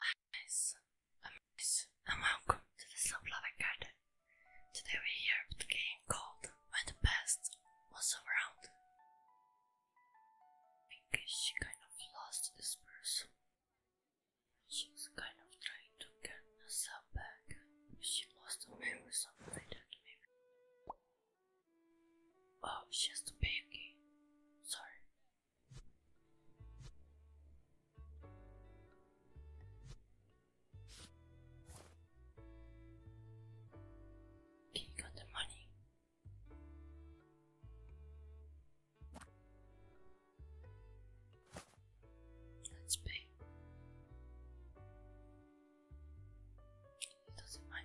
i Agnes, Agnes, and welcome to the Slow Loving Garden. Today we're here with a game called When the Past Was Around. I she kind of lost this person. She's kind of trying to get herself back. She lost her memory, something Oh, she has to Sorry, he got the money. Let's pay. It doesn't mind.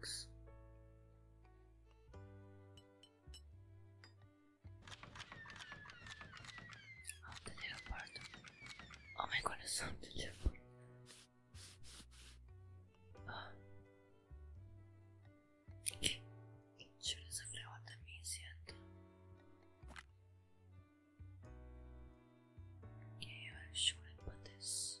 was. There Oh my god, the little part. Uh. Should I supply what that means yet? Okay, I put this.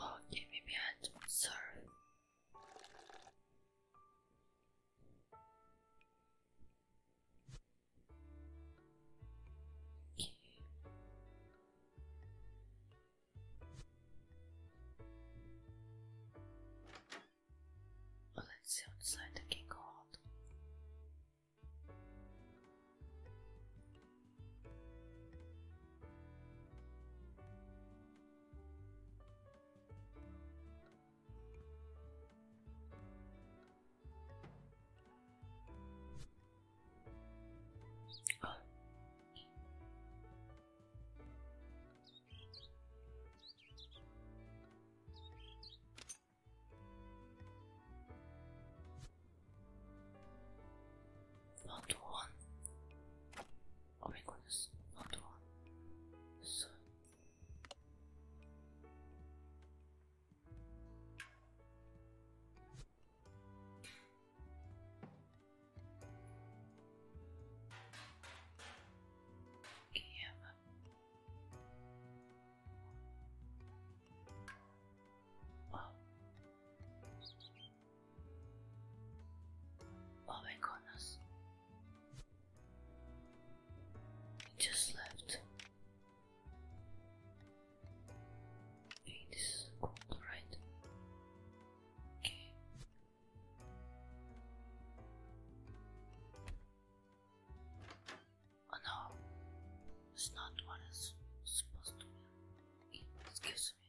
Oh, give me behind, sir let's see outside the king hall. Not one. Oh my goodness, not one. So Oh. oh my goodness. just left. Okay, this is cool, right? Okay. Oh no, it's not what supposed to be. Excuse me.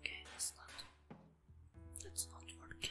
Okay, that's not that's not working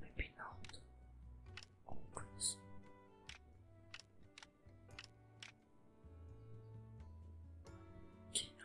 Maybe not. Always. Oh, Kina.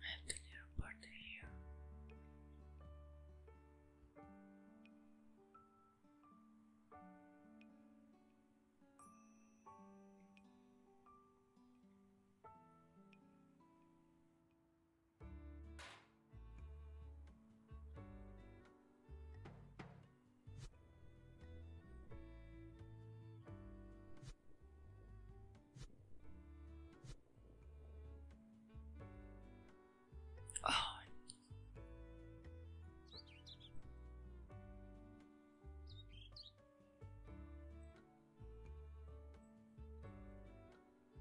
I have the party here. Oh.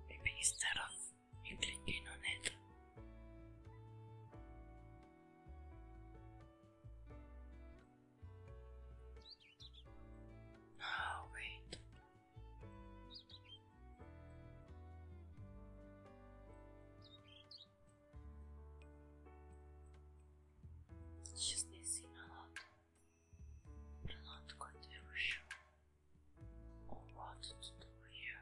Maybe instead of you clicking on it. Oh, wait. Just missing a lot. I'm not quite sure what to do here.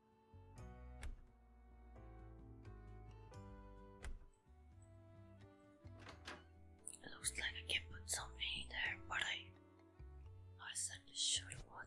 Looks like I can put something in there, but I I certainly sure what.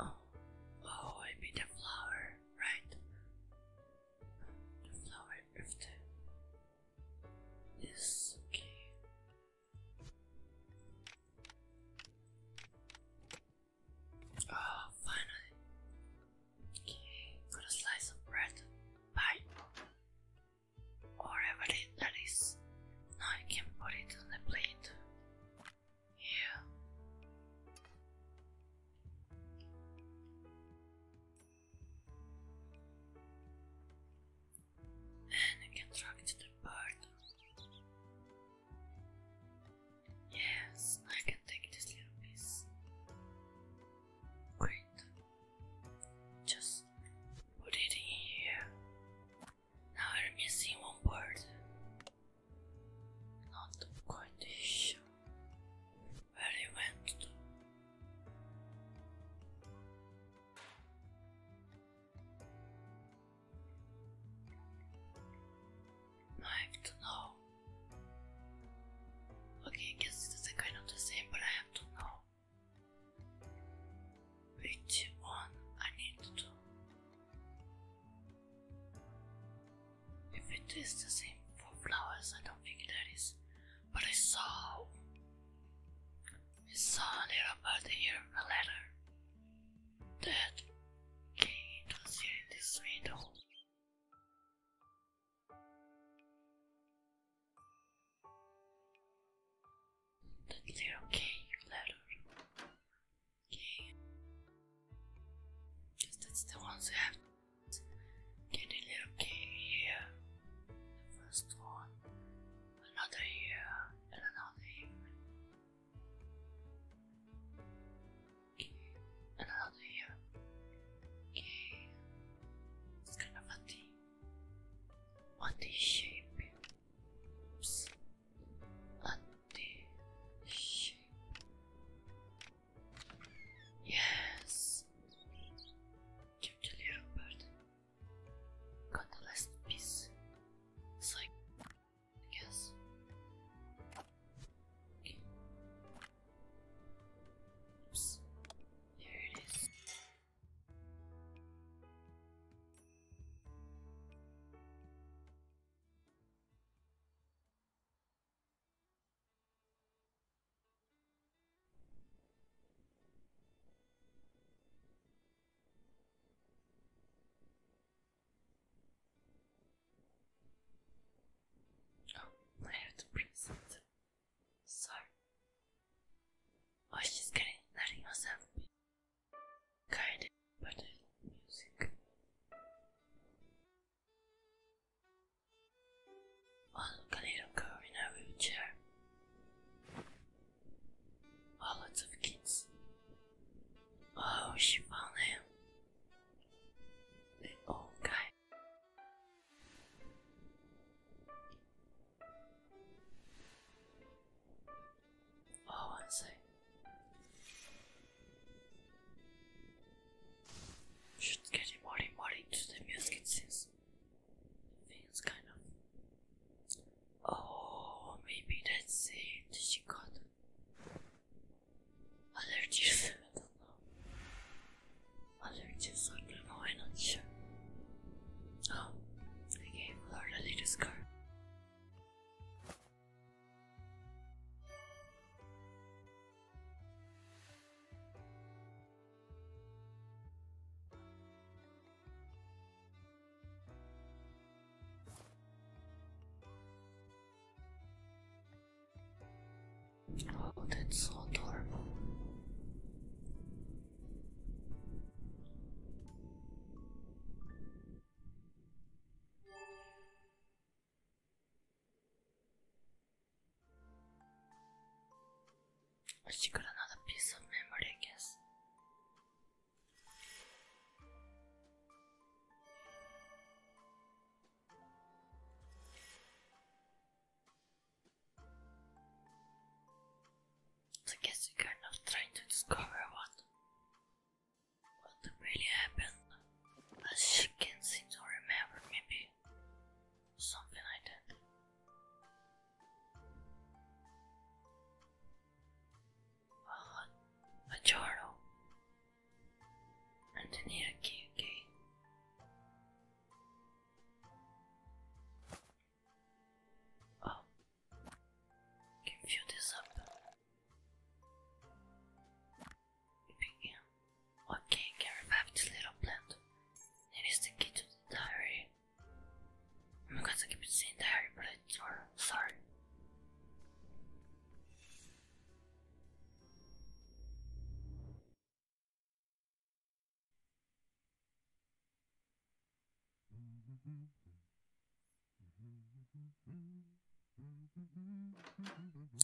Oh, oh, I mean a flower, right? The flower of the. Yes, okay. Oh, finally. Okay, got a slice of bread. Bye. Or everything that is. Now I can put it on the plate. Here. And you can drag the bird. Yes, I can take this little piece. Great. Just put it here. Now we're missing one word. Not quite sure where he went to. I have to know. Okay, I guess it's kind of the same, but I have to know. Which one I need to do? If it is the same for flowers, I don't think that is. But I saw. I saw a little bird here, a letter. That came into here in this window the letter K letter. K. that's the ones I have. Get a little K here. The first one. Another here. And another here. And another here. It's kind of a D. One shape anti-shape. Yes, Churchill Robert got the last piece. It's like, I Oops, there it is. Oh, I have to press it. Sorry. Oh, she's getting letting herself Kinda the music. One little girl in a wheelchair. Oh, lots of kids. Oh, she found him. The old guy. Oh, I see. Should get more more into things kind of. Oh, maybe that's it. She got allergies. I don't know. Allergies, I don't know. I'm not sure. Oh, I gave her the little Oh, that's so adorable. I just got another piece of memory, I guess. I guess you're not trying to discover what what really happened. As she can seem to remember, maybe something like that. Uh, a journal. And then here, key Oh, can fill this up. Begin. Okay, can revive this little plant. That is the key to the diary. I'm gonna keep the diary, but it's wrong. Sorry.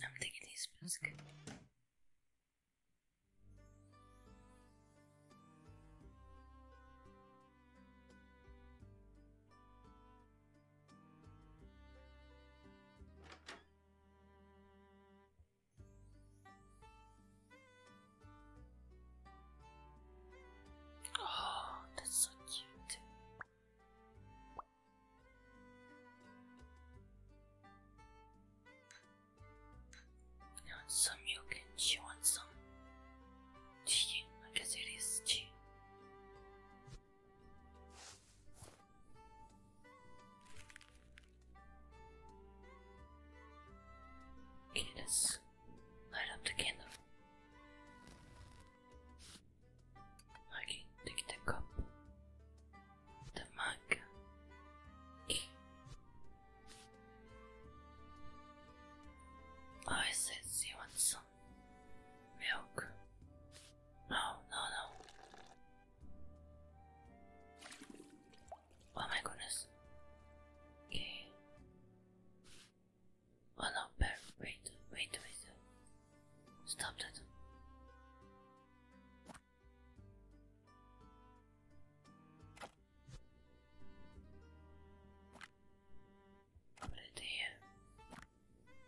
I'm taking this music. Oh, that's so cute. She some milk and she wants some tea. I guess it is tea. Okay, light up the candle. I can take the cup. The mug. Oh, I said she wants some milk. No, no, no. Oh my goodness. Okay. Oh no, bear, wait, wait, wait. Stop that. Put it here.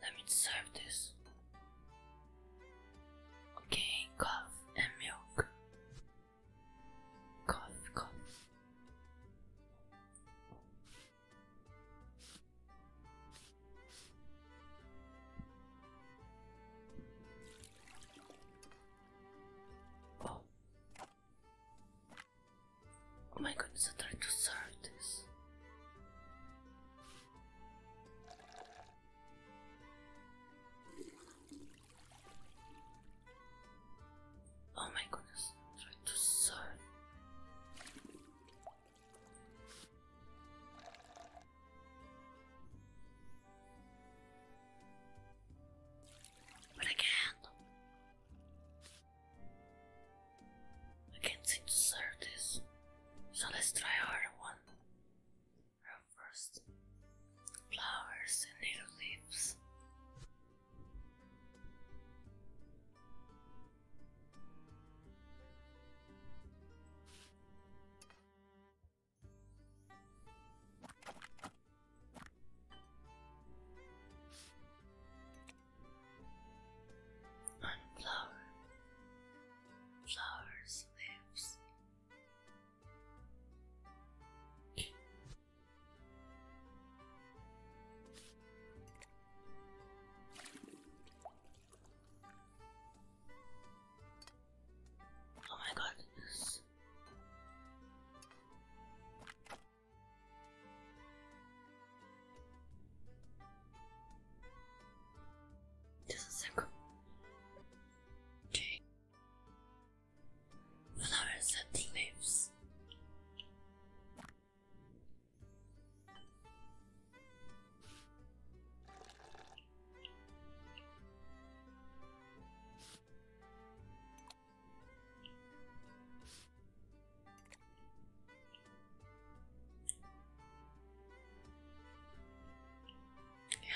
Let me serve this. Okay, coffee and milk. Coffee, coffee. Oh. Oh my goodness, I tried to serve this. Oh my goodness. But I can't. I can't seem to serve this. So let's try our one. Our first flowers and native leaves. And flower, flowers, leaves. Oh my god, this this is a okay. Flowers and waves.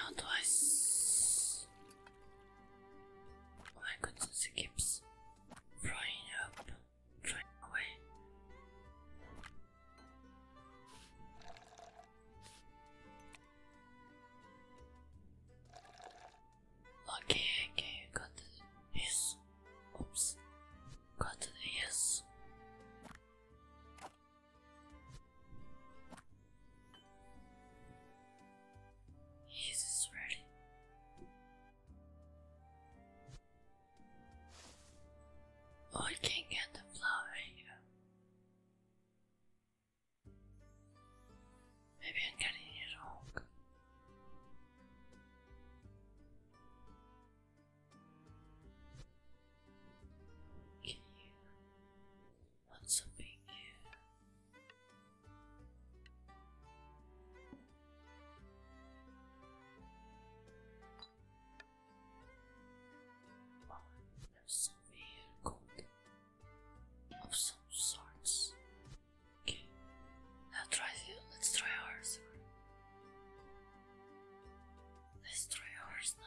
How do I s oh my goodness, it keeps flying up flying away. Okay, okay, got it. Yes. Oops. Got it, yes. Yes, it's ready. I can not get the flower Maybe I'm getting it wrong. Okay. What's up in here? Well, there's a real of some sorts. Okay, now try the, let's try ours. Let's try ours now.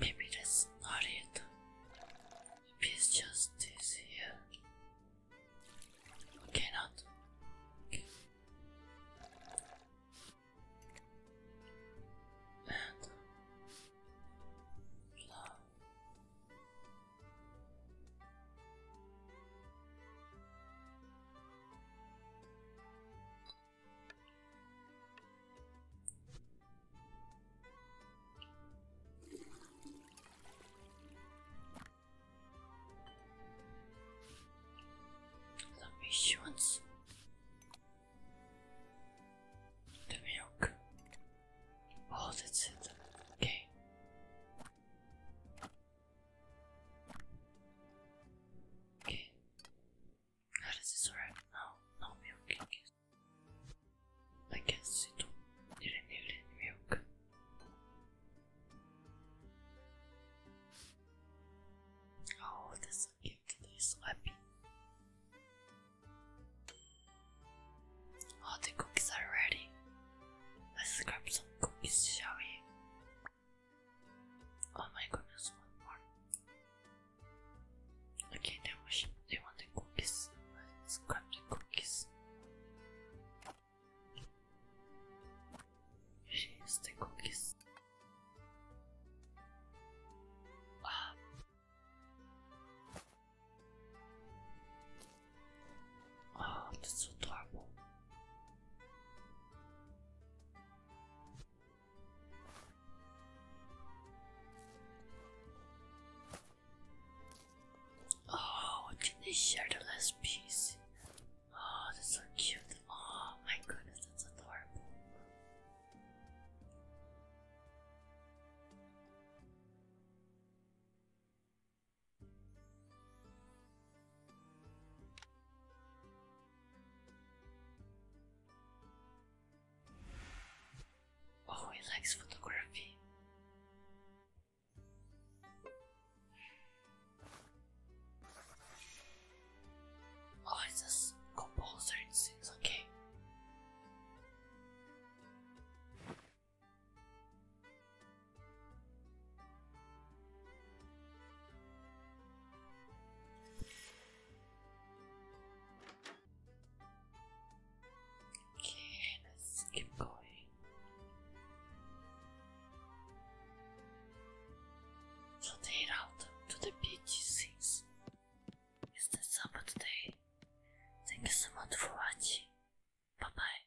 Maybe that's not it. Maybe just is here. Okay, not. And love. The missions, the milk. Oh, that's it. Okay. Okay. Now this is alright. Now, milk I guess. I guess it didn't need any milk. Oh, that's a gift that is happy. Oh, the cookies are ready. Let's grab some cookies, shall we? Oh my goodness, one more. Okay, they want, they want the cookies. Let's grab the cookies. Here's the cookies. Ah. Ah, oh, that's adorable. Oh, can they share the last piece? Oh, that's so cute. Oh my goodness, that's adorable. Oh, he likes photography. Oh, it's just composer, it seems okay. Okay, let's keep going. So they route to the BG6. Is this up today? Thank you so much for watching. Bye bye.